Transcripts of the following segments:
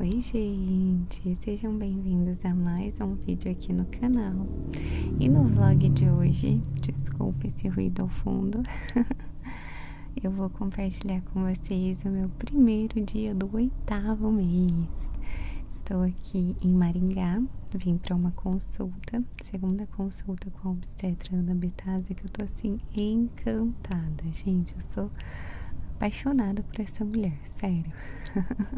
Oi gente, sejam bem-vindos a mais um vídeo aqui no canal E no vlog de hoje, desculpa esse ruído ao fundo Eu vou compartilhar com vocês o meu primeiro dia do oitavo mês Estou aqui em Maringá, vim para uma consulta, segunda consulta com a obstetra Ana Betasa, que eu estou assim encantada, gente. Eu sou apaixonada por essa mulher, sério.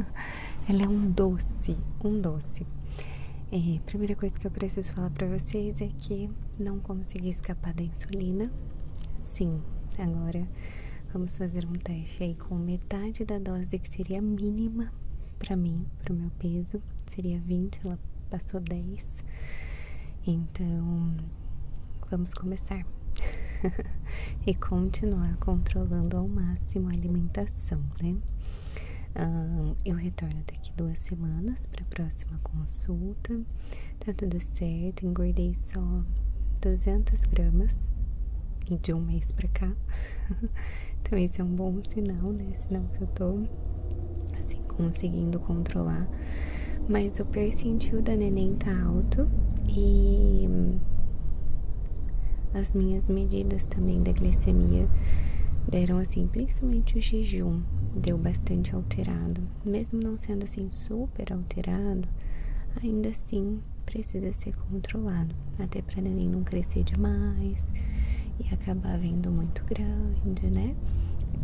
Ela é um doce, um doce. É, primeira coisa que eu preciso falar para vocês é que não consegui escapar da insulina. Sim, agora vamos fazer um teste aí com metade da dose que seria mínima para mim, para o meu peso, seria 20, ela passou 10. Então, Vamos começar. e continuar controlando ao máximo a alimentação, né? eu retorno daqui duas semanas para a próxima consulta. Tá tudo certo, engordei só 200 gramas e de um mês para cá. Também então, esse é um bom sinal, né? Sinal que eu tô assim, conseguindo controlar mas o percentil da neném tá alto e as minhas medidas também da glicemia deram assim, principalmente o jejum deu bastante alterado, mesmo não sendo assim super alterado, ainda assim precisa ser controlado, até para neném não crescer demais e acabar vindo muito grande, né?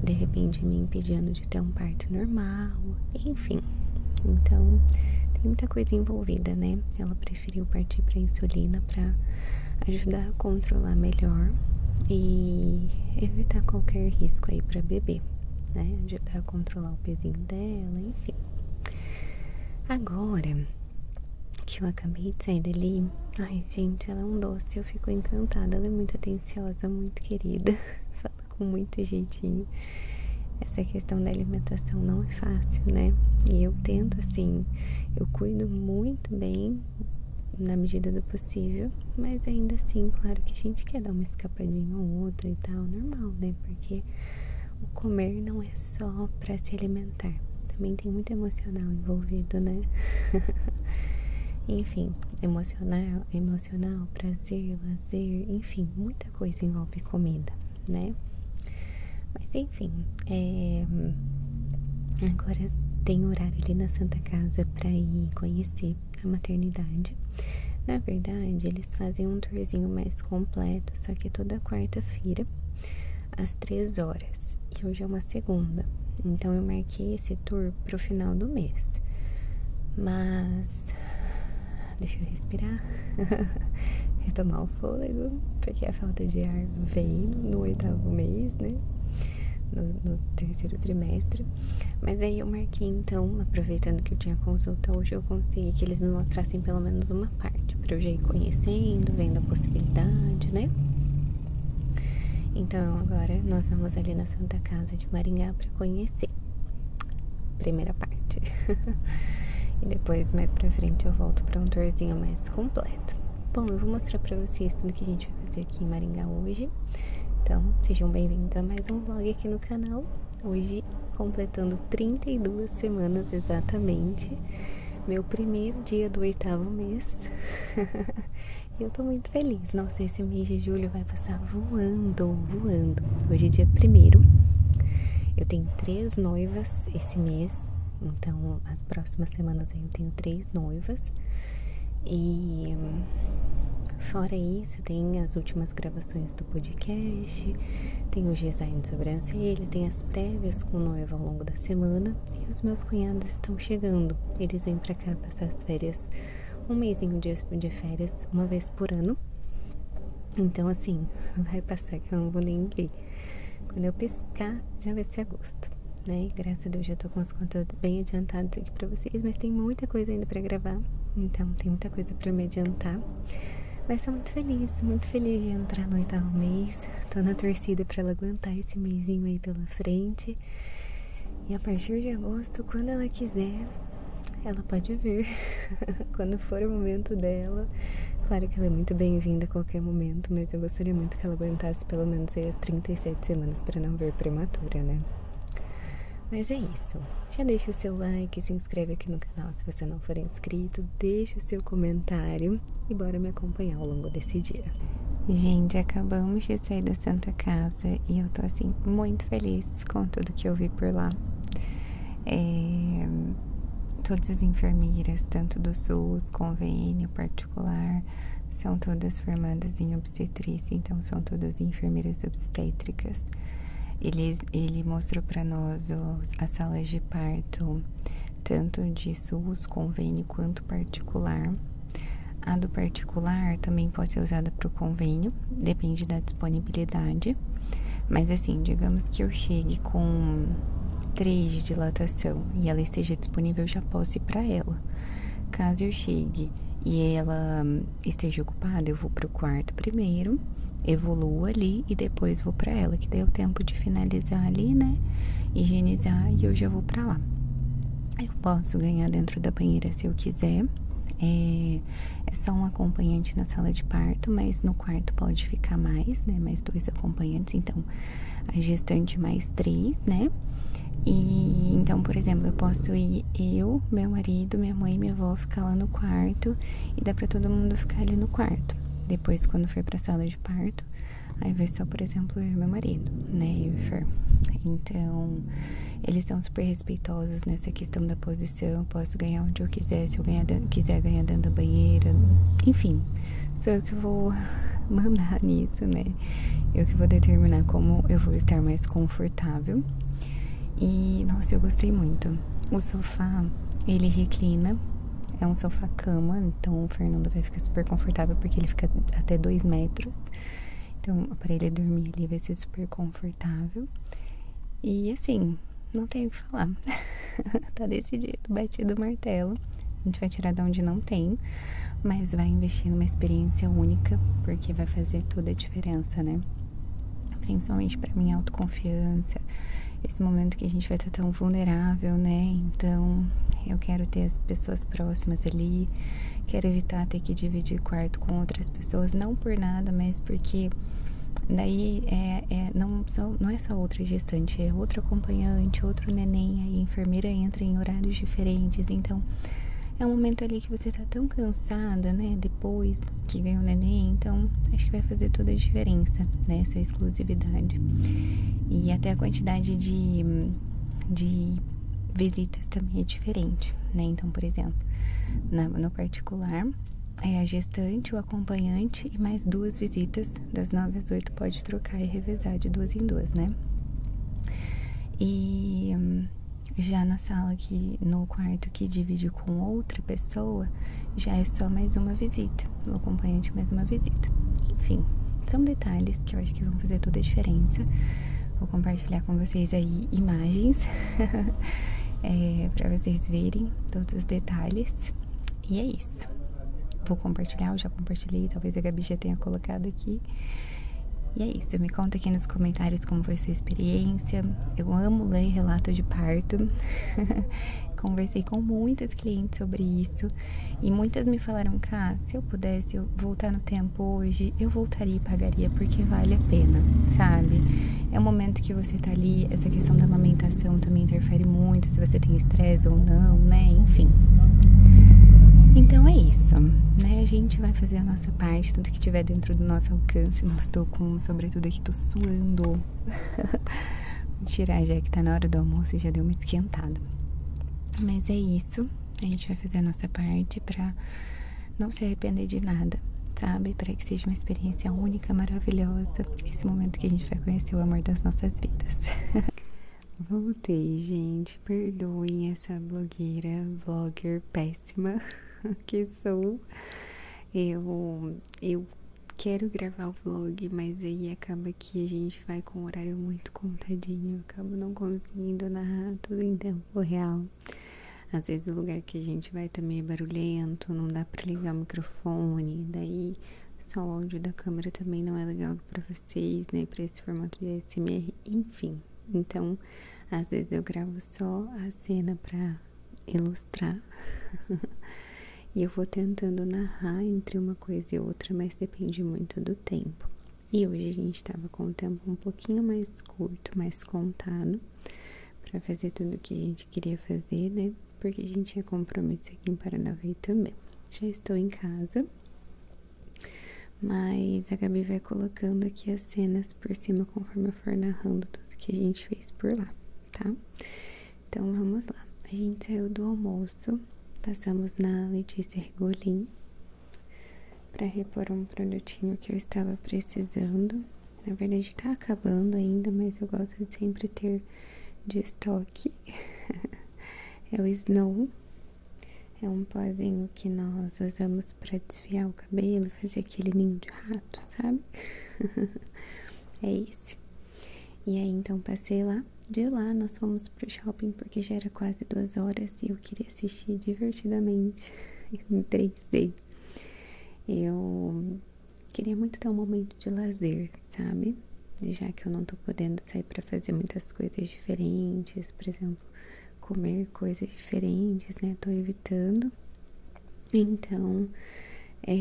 De repente me impedindo ter um parto normal, enfim. Então, tem muita coisa envolvida, né? Ela preferiu partir para insulina para ajudar a controlar melhor e evitar qualquer risco aí para bebê, né? Ajudar a controlar o pezinho dela, enfim. Agora que eu acabei de sair dali, ai gente, ela é um doce, eu fico encantada, ela é muito atenciosa, muito querida. com muito jeitinho. Essa questão da alimentação não é fácil, né? E eu tento assim, eu cuido muito bem na medida do possível, mas ainda assim, claro que a gente quer dar uma escapadinha ou outra e tal, normal, né? Porque o comer não é só para se alimentar, também tem muito emocional envolvido, né? Enfim, emocional, emocional, prazer, lazer, enfim, muita coisa envolve comida, né? Mas enfim, é... agora tem horário ali na Santa Casa para ir conhecer a maternidade. Na verdade, eles fazem um tourzinho mais completo, só que toda quarta-feira, às três horas. E hoje é uma segunda, então eu marquei esse tour pro final do mês. Mas Deixa eu respirar, retomar o fôlego, porque a falta de ar vem no oitavo mês, né? No, terceiro trimestre. Mas aí eu marquei então, aproveitando que eu tinha consulta hoje, eu consegui que eles me mostrassem pelo menos uma parte, para eu já ir conhecendo, vendo a possibilidade, né? Então agora nós vamos ali na Santa Casa de Maringá para conhecer primeira parte. e depois, mais pra frente, eu volto pra um tourzinho mais completo. Bom, eu vou mostrar pra vocês tudo que a gente vai fazer aqui em Maringá hoje. Então, sejam bem-vindos a mais um vlog aqui no canal. Hoje, completando 32 semanas exatamente. Meu primeiro dia do oitavo mês. e eu tô muito feliz. Nossa, esse mês de julho vai passar voando, voando. Hoje é dia primeiro. Eu tenho três noivas esse mês, então as próximas semanas eu tenho três noivas. E fora isso, tem as últimas gravações do podcast, tem o design de sobrancelha, tem as prévias com noiva ao longo da semana e os meus cunhados estão chegando. Eles vêm para cá passar as férias um mêsinho de, férias, uma vez por ano. Então, assim, vai passar que eu não vou nem ver. Quando eu piscar, já vai ser agosto, né? Graças a Deus, já tô com os conteúdos bem adiantados aqui pra vocês, mas tem muita coisa ainda pra gravar. Então, tem muita coisa pra me adiantar. Mas sou muito feliz, muito feliz de entrar no oitavo mês. Tô na torcida pra ela aguentar esse mêsinho aí pela frente. E a partir de agosto, quando ela quiser, ela pode vir quando for o momento dela. Claro que ela é muito bem-vinda a qualquer momento, mas eu gostaria muito que ela aguentasse pelo menos aí as 37 semanas para não ver prematura, né? Mas é isso. Já deixa o seu like, se inscreve aqui no canal se você não for inscrito, deixa o seu comentário e bora me acompanhar ao longo desse dia. Gente, acabamos de sair da Santa Casa, e eu tô assim muito feliz com tudo que eu vi por lá. É, todas as enfermeiras, tanto do SUS, convênio particular, são todas formadas em obstetrícia, então são todas enfermeiras obstétricas. Ele, mostrou para nós as salas de parto, tanto de SUS, convênio quanto particular. A do particular também pode ser usada para o convênio, depende da disponibilidade. Mas assim, digamos que eu chegue com 3 de dilatação e ela esteja disponível, já posso ir para ela. Caso eu chegue e ela esteja ocupada, eu vou para o quarto primeiro, evoluo ali e depois vou para ela, que deu é tempo de finalizar ali, né? Higienizar e eu já vou para lá. Eu posso ganhar dentro da banheira se eu quiser. É, é só um acompanhante na sala de parto, mas no quarto pode ficar mais, né? Mais dois acompanhantes, então a gestante mais três, né? E então, por exemplo, eu posso ir eu, meu marido, minha mãe minha avó ficar lá no quarto e dá para todo mundo ficar ali no quarto. Depois, quando for para a sala de parto, aí vai só, por exemplo, meu marido, né? Eu e Fer. Então, eles são super respeitosos nessa questão da posição se eu posso ganhar onde eu quiser, se eu quiser ganhar dentro da banheira, enfim, sou eu que vou mandar nisso, né? Eu que vou determinar como eu vou estar mais confortável. E nossa, eu gostei muito. O sofá, ele reclina, é um sofá cama, então o Fernando vai ficar super confortável porque ele fica até 2 metros. Então, para ele dormir, ali vai ser super confortável confortável. E assim, não tenho o que falar. tá decidido, batido o martelo. A gente vai tirar de onde não tem, mas vai investir numa experiência única, porque vai fazer toda a diferença, né? Principalmente para minha autoconfiança, esse momento que a gente vai estar tão vulnerável, né? Então, eu quero ter as pessoas próximas ali, quero evitar ter que dividir quarto com outras pessoas, não por nada, mas porque daí é, é não, não é só outra gestante, é outro acompanhante, outro neném, aí a enfermeira entra em horários diferentes, então é um momento ali que você tá tão cansada, né? Depois que ganha o neném, então acho que vai fazer toda a diferença nessa né, exclusividade. E até a quantidade de, de visitas também é diferente, né? Então, por exemplo, na, particular, é a gestante, o acompanhante e mais duas visitas, das nove às oito pode trocar e revezar de duas em duas, né? E hum, já na sala que no quarto que divide com outra pessoa, já é só mais uma visita, o acompanhante mais uma visita. Enfim, são detalhes que eu acho que vão fazer toda a diferença. Vou compartilhar compartilhar com vocês aí imagens é, para vocês verem todos os detalhes. E é isso. Vou compartilhar, eu já compartilhei, talvez a Gabi já tenha colocado aqui. E é isso, me conta aqui nos comentários como foi sua experiência. Eu amo ler relato de parto. Conversei com muitas clientes sobre isso e muitas me falaram: "Cá, se eu pudesse voltar no tempo hoje, eu vou voltaria e pagaria porque vale a pena, sabe? É o momento que você tá ali, essa questão da amamentação também interfere muito se você tem estresse ou não, né? Enfim. Então é isso, né? A gente vai fazer a nossa parte, tudo que tiver dentro do nosso alcance. Não estou com, sobretudo aqui, tô suando. Tirar já que tá na hora do almoço e já deu uma esquentada. Mas é isso. A gente vai fazer a nossa parte para não se arrepender de nada, sabe? Para que seja uma experiência única, maravilhosa, esse momento que a gente vai conhecer o amor das nossas vidas. Voltei, gente. Perdoem essa blogueira, vlogger péssima que sou. Eu, eu quero gravar o vlog, mas aí acaba que a gente vai com um horário muito contadinho. Eu acabo não conseguindo narrar tudo em tempo real. Às vezes o lugar que a gente vai também é barulhento, não dá pra ligar o microfone, daí só o áudio da câmera também não é legal pra vocês, né? Pra esse formato de ASMR, enfim. Então, às vezes eu gravo só a cena pra ilustrar. e eu vou tentando narrar entre uma coisa e outra, mas depende muito do tempo. E hoje a gente estava com o tempo um pouquinho mais curto, mais contado para fazer tudo o que a gente queria fazer, né? Porque a gente tinha compromisso aqui em Paranavaí também. Já estou em casa, mas a Gabi vai colocando aqui as cenas por cima conforme eu for narrando tudo que a gente fez por lá, tá? Então vamos lá. A gente saiu do almoço, passamos na Letícia Ergolim para repor um produtinho que eu estava precisando na verdade, tá acabando ainda, mas eu gosto de sempre ter de estoque. é o Snow. É um pozinho que nós usamos para desfiar o cabelo, fazer aquele ninho de rato, sabe? é esse. E aí, então, passei lá. De lá, nós fomos pro shopping porque já era quase duas horas e eu queria assistir divertidamente. Entrei sei. Eu queria muito ter um momento de lazer, sabe? Já que eu não tô podendo sair para fazer muitas coisas diferentes, por exemplo, comer coisas diferentes, né? Tô evitando. Então, é,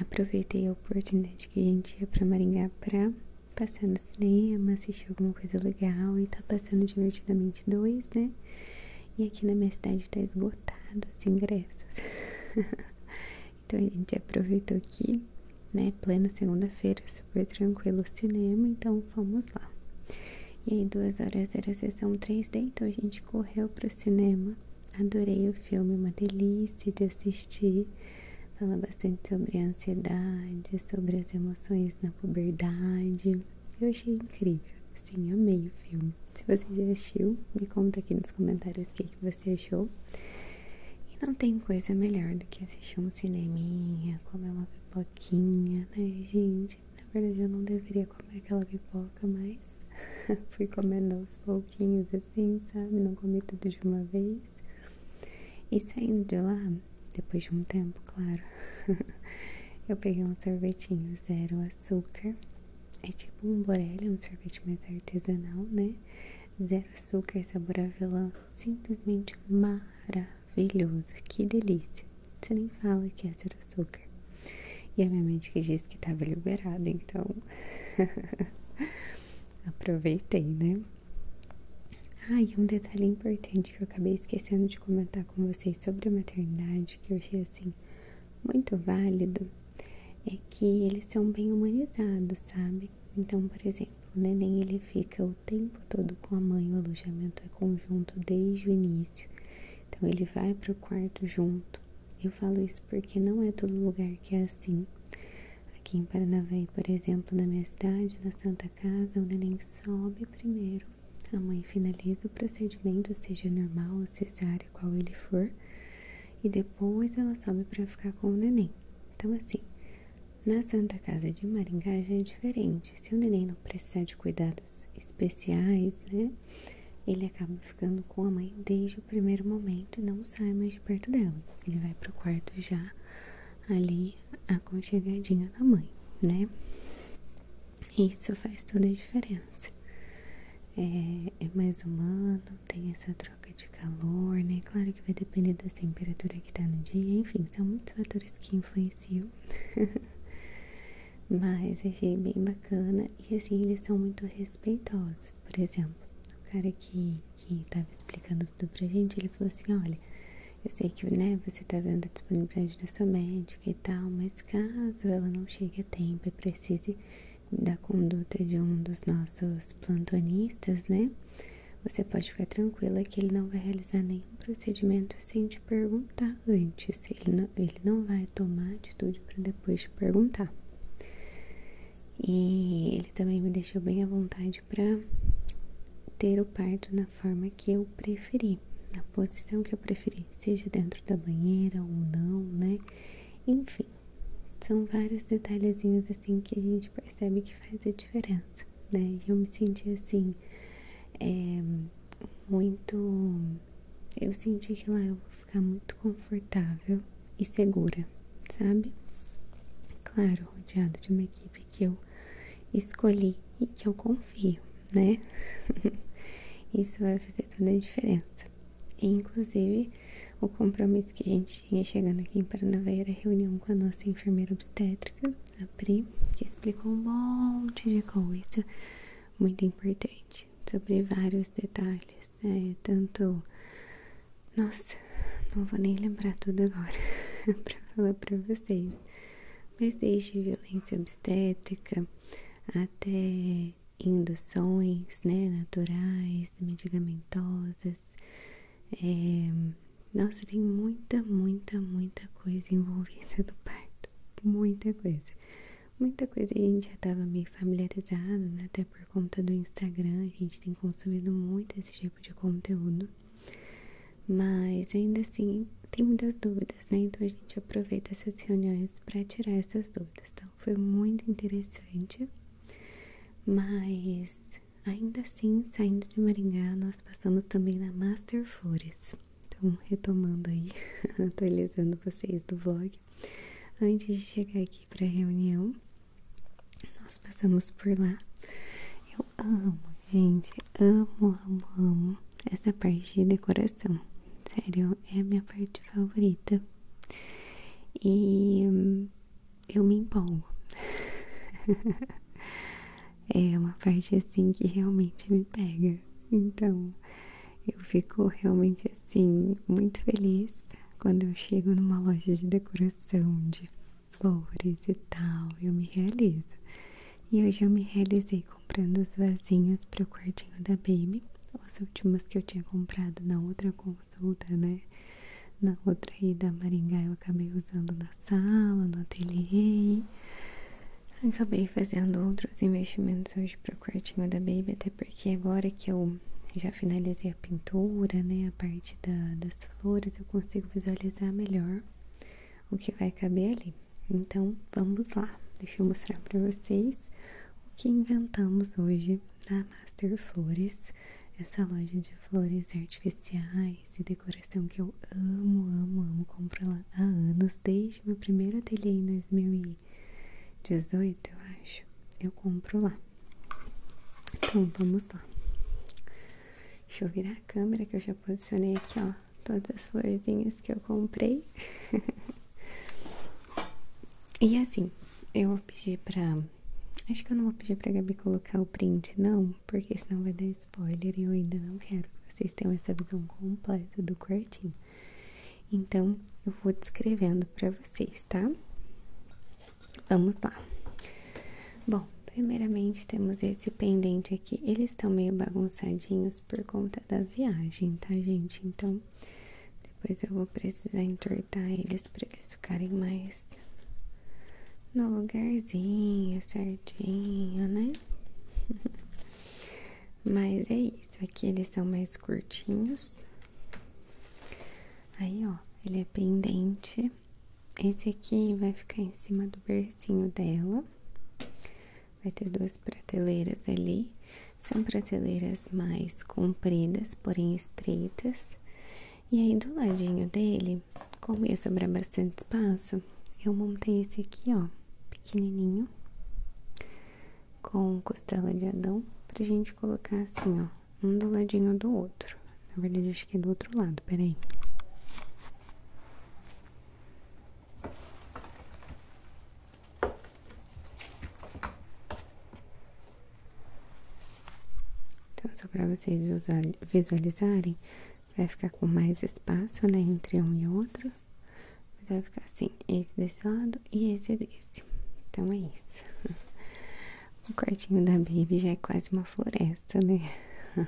aproveitei a oportunidade que a gente ia pra Maringá pra passar no cinema, assistir alguma coisa legal e tá passando divertidamente né? E aqui na minha cidade tá esgotado os ingressos. então a gente aproveitou aqui, né, plena segunda-feira, super tranquilo o cinema, então vamos lá. E aí, duas horas era a sessão 3D, então a gente correu pro cinema. Adorei o filme, uma delícia de assistir. Fala bastante sobre a ansiedade, sobre as emoções na puberdade. Eu achei incrível, sim, amei o filme. Se você já assistiu, me conta aqui nos comentários o que, você achou. E não tem coisa melhor do que assistir um cineminha, comer uma pipoquinha, né, gente? Na verdade, eu não deveria comer aquela pipoca, mas fui comendo aos pouquinhos, assim, sabe? Não comi tudo de uma vez. E saindo de lá, depois de um tempo, claro, eu peguei um sorvetinho zero açúcar. É tipo um borelli, um sorvete mais artesanal, né? Zero açúcar, sabor avelã, simplesmente maravilhoso. Que delícia! Você nem fala que é zero açúcar. E a minha mente que disse que tava liberado, então aproveitei, né? Ah, e um detalhe importante que eu acabei esquecendo de comentar com vocês sobre a maternidade, que eu achei assim muito válido é que eles são bem humanizados, sabe? Então, por exemplo, o neném ele fica o tempo todo com a mãe, o alojamento é conjunto desde o início. Então, ele vai para o quarto junto. Eu falo isso porque não é todo lugar que é assim. Aqui em Paranavaí, por exemplo, na minha cidade, na Santa Casa, o neném sobe primeiro a mãe finaliza o procedimento, seja normal ou cesárea, qual ele for, e depois ela sobe para ficar com o neném. Então, assim, na Santa Casa de Maringá já é diferente. Se o neném não precisar de cuidados especiais, né, ele acaba ficando com a mãe desde o primeiro momento e não sai mais de perto dela. Ele vai pro quarto já ali aconchegadinho da mãe, né? Isso faz toda a diferença. É, é, mais humano, tem essa troca de calor, né? Claro que vai depender da temperatura que tá no dia, enfim, são muitos fatores que influenciam. Mas achei bem bacana e assim eles são muito respeitosos. Por exemplo, o cara que, que tava explicando tudo pra gente, ele falou assim: olha, eu sei que né, você tá vendo a disponibilidade da sua médica e tal, mas caso ela não chegue tempo e precise da conduta de um dos nossos plantonistas, né? Você pode ficar tranquila que ele não vai realizar nenhum procedimento sem te perguntar antes. ele não vai tomar atitude para depois te perguntar. E ele também me deixou bem à vontade para ter o parto na forma que eu preferi, na posição que eu preferi seja dentro da banheira ou não, né? Enfim, são vários detalhezinhos assim que a gente percebe que faz a diferença, né? Eu me senti assim, é, muito. Eu senti que lá eu vou ficar muito confortável e segura, sabe? Claro, rodeado de uma equipe que eu escolhi e que eu confio, né? Isso vai fazer toda a diferença. inclusive, o compromisso que a gente tinha chegando aqui em Paranavaí era reunião com a nossa enfermeira obstétrica, a Pri, que explicou um monte de coisa muito importante sobre vários detalhes, né? Tanto. Nossa, não vou nem lembrar tudo agora pra falar pra vocês. Mas desde violência obstétrica até induções né, naturais, medicamentosas. É, nossa, tem muita, muita, muita coisa envolvida no parto. Muita coisa. Muita coisa a gente já estava meio familiarizado, né? até por conta do Instagram, a gente tem consumido muito esse tipo de conteúdo. Mas ainda assim, tem muitas dúvidas, né? Então a gente aproveita essas reuniões para tirar essas dúvidas. Então foi muito interessante, mas ainda assim, saindo de Maringá, nós passamos também na Master Flores. Então, retomando aí, atualizando vocês do vlog. Antes de chegar aqui para a reunião, nós passamos por lá. Eu amo, gente, amo, amo, amo essa parte de decoração. Sério, é a minha parte favorita. E eu me empolgo. é uma parte assim que realmente me pega. Então, eu fico realmente assim, muito feliz quando eu chego numa loja de decoração, de flores e tal. Eu me realizo. E hoje eu me realizei comprando as vasinhos para o quartinho da Baby. as últimas que eu tinha comprado na outra consulta, né? Na outra aí da Maringá eu acabei usando na sala, no ateliê. Acabei fazendo outros investimentos hoje para o quartinho da Baby, até porque agora que eu já finalizei a pintura, né? A parte das flores, eu consigo visualizar melhor o que vai caber ali. Então, vamos lá. Deixa eu mostrar para vocês o que inventamos hoje na Master Flores, essa loja de flores artificiais e decoração que eu amo, amo, amo. Compro lá há anos, desde meu primeiro ateliê em 2018, eu acho. Eu compro lá. Então, vamos lá. Deixa eu virar a câmera que eu já posicionei aqui, ó, todas as florzinhas que eu comprei. e assim, eu vou pedir pra. Acho que eu não vou pedir pra Gabi colocar o print, não, porque senão vai dar spoiler e eu ainda não quero que vocês tenham essa visão completa do quartinho. Então, eu vou descrevendo pra vocês, tá? Vamos lá. Bom, primeiramente temos esse pendente aqui. Eles estão meio bagunçadinhos por conta da viagem, tá, gente? Então, depois eu vou precisar entortar eles para eles ficarem mais no lugarzinho certinho, né? Mas é isso, aqui eles são mais curtinhos. Aí, ó, ele é pendente. Esse aqui vai ficar em cima do berço dela. Vai ter duas prateleiras ali. São prateleiras mais compridas, porém estreitas. E aí do ladinho dele, como ia sobrar bastante espaço, eu montei esse aqui, ó, pequenininho. Com costela de Adão, pra gente colocar assim, ó, um do ladinho do outro. Na verdade, acho que é do outro lado, peraí. Então, só para vocês visualizarem, vai ficar com mais espaço, né, entre um e outro. vai ficar assim, esse desse lado e esse desse. Então, é isso. O quartinho da Baby já é quase uma floresta, né?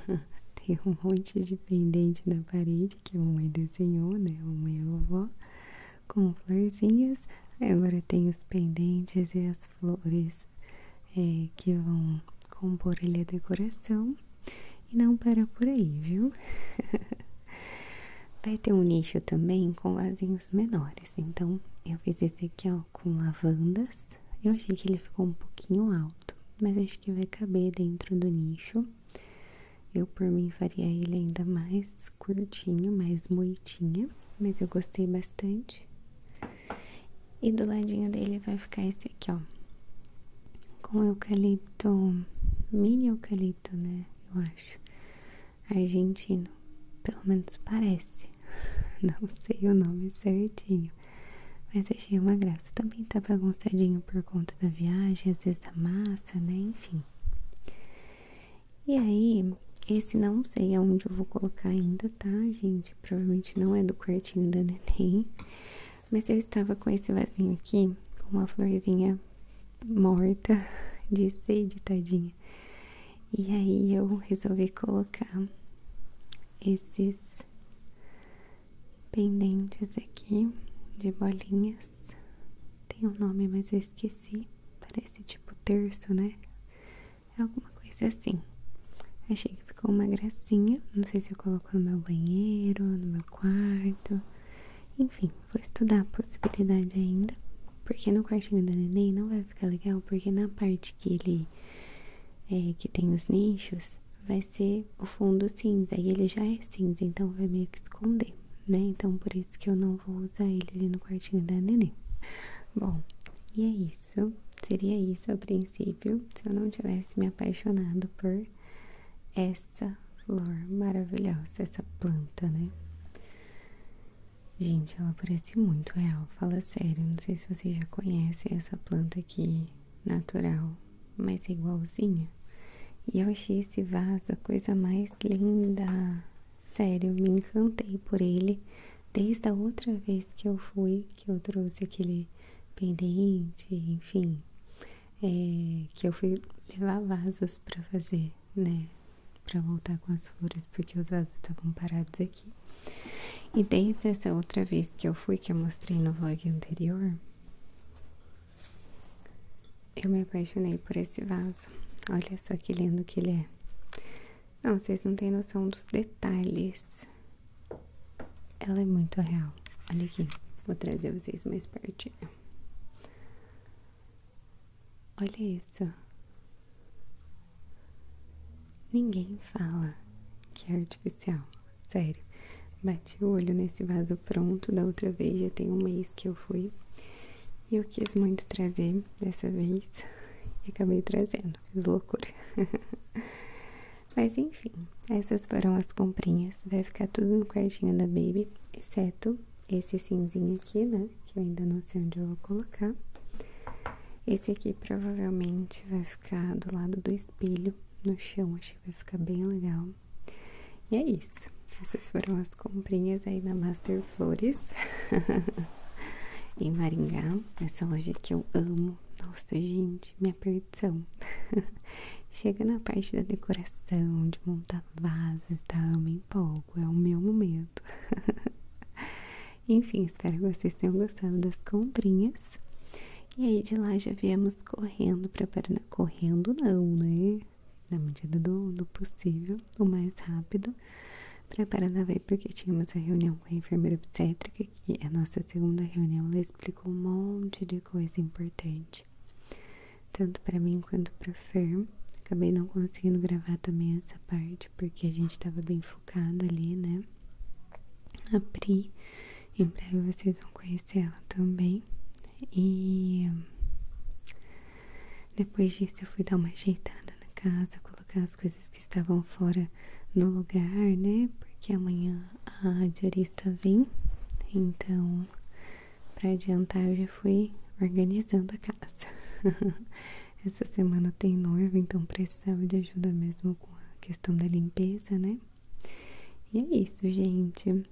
Tem um monte de pendente na parede que a mamãe desenhou, né? A mamãe e a vovó, com florzinhas. Agora tem os pendentes e as flores é, que vão compor a decoração. E não para por aí, viu? Vai ter um nicho também com vasinhos menores. Então, eu fiz esse aqui, ó, com lavandas. Eu achei que ele ficou um pouquinho alto, mas acho que vai caber dentro do nicho. Eu, por mim, faria ele ainda mais curtinho, mais moitinho, Mas eu gostei bastante. E do ladinho dele vai ficar esse aqui, ó. Com eucalipto, mini eucalipto, né? Eu acho. Argentino. Pelo menos parece. Não sei o nome certinho. Mas achei uma graça. Também tá bagunçadinho por conta da viagem, às vezes da massa, né? Enfim. E aí, esse não sei aonde eu vou colocar ainda, tá, gente? Provavelmente não é do quartinho da Neném. Mas eu estava com esse vasinho aqui, com uma florzinha morta de sede, tadinha. E aí eu resolvi colocar esses pendentes aqui de bolinhas tem um nome, mas eu esqueci. Parece tipo terço, né? É alguma coisa assim. Achei que ficou uma gracinha. Não sei se eu coloco no meu banheiro, no meu quarto. Enfim, vou estudar a possibilidade ainda. Porque no quartinho do neném não vai ficar legal, porque na parte que ele é, que tem os nichos, vai ser o fundo cinza. E ele já é cinza, então vai meio que esconder. Né? Então por isso que eu não vou usar ele ali no quartinho da neném. Bom, e é isso. Seria isso a princípio, se eu não tivesse me apaixonado por essa flor maravilhosa, essa planta, né? Gente, ela parece muito real, fala sério. Não sei se vocês já conhecem essa planta aqui, natural, mas é igualzinha. E eu achei esse vaso a coisa mais linda! Sério, me encantei por ele. Desde a outra vez que eu fui, que eu trouxe aquele pendente, enfim, é, que eu fui levar vasos para fazer, né? Para voltar com as flores, porque os vasos estavam parados aqui. E desde essa outra vez que eu fui, que eu mostrei no vlog anterior, eu me apaixonei por esse vaso. Olha só que lindo que ele é. Não, vocês não têm noção dos detalhes. Ela é muito real. Olha aqui, vou trazer vocês mais pertinho. Olha isso. Ninguém fala que é artificial. Sério. Bati o olho nesse vaso pronto da outra vez, já tem um mês que eu fui. E eu quis muito trazer dessa vez e acabei trazendo, fiz loucura. Mas enfim, essas foram as comprinhas. Vai ficar tudo no quartinho da Baby, exceto esse cinzinho aqui, né? Que eu ainda não sei onde eu vou colocar. Esse aqui provavelmente vai ficar do lado do espelho no chão, acho que vai ficar bem legal. E é isso. Essas foram as comprinhas aí na Master Flores. em Maringá, essa loja que eu amo. Nossa, gente, minha perdição. Chega na parte da decoração, de montar vasos, tá? Eu me empolgo, é o meu momento. Enfim, espero que vocês tenham gostado das comprinhas. E aí de lá já viemos correndo preparando Correndo não, né? fazer na medida do, possível, o mais rápido, para Paranavaí, porque tínhamos a reunião com a enfermeira obstétrica, que a nossa segunda reunião ela explicou um monte de coisa importante, tanto para mim quanto para Fer. Acabei não conseguindo gravar também essa parte, porque a gente estava bem focado ali, né? A Pri, em breve vocês vão conhecer ela também. E depois disso eu fui dar uma ajeitada na casa, colocar as coisas que estavam fora no lugar, né? Porque amanhã a radiarista vem. Então, para adiantar, eu já fui organizando a casa. Essa semana tem noiva, então precisava de ajuda mesmo com a questão da limpeza, né? E é isso, gente.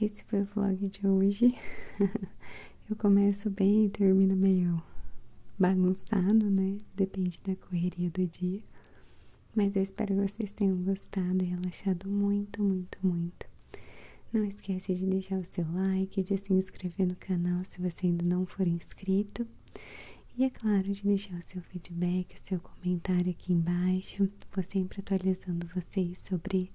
Esse foi o vlog de hoje. Eu começo bem e termino meio bagunçado, né? Depende da correria do dia. Mas eu espero que vocês tenham gostado e relaxado muito, muito, muito. Não esquece de deixar o seu like, de se inscrever no canal se você ainda não for inscrito. E é claro, de deixar o seu feedback, o seu comentário aqui embaixo. Vou sempre atualizando vocês sobre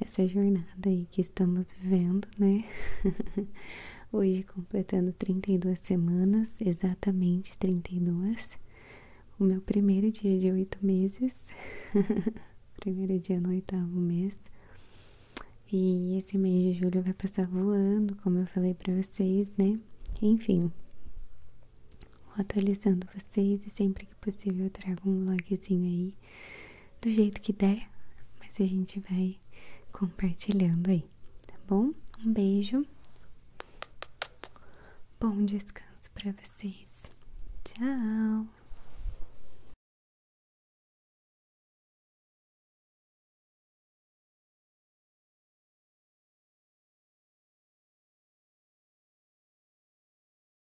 essa jornada aí que estamos vivendo, né? Hoje completando 32 semanas, exatamente 32. O meu primeiro dia de oito meses, primeiro dia no oitavo mês. E esse mês de julho vai passar voando, como eu falei para vocês, né? Enfim, vou atualizando vocês e sempre é possível trago um vlogzinho aí, do jeito que der, mas a gente vai compartilhando aí, tá bom? Um beijo, bom descanso para vocês, tchau!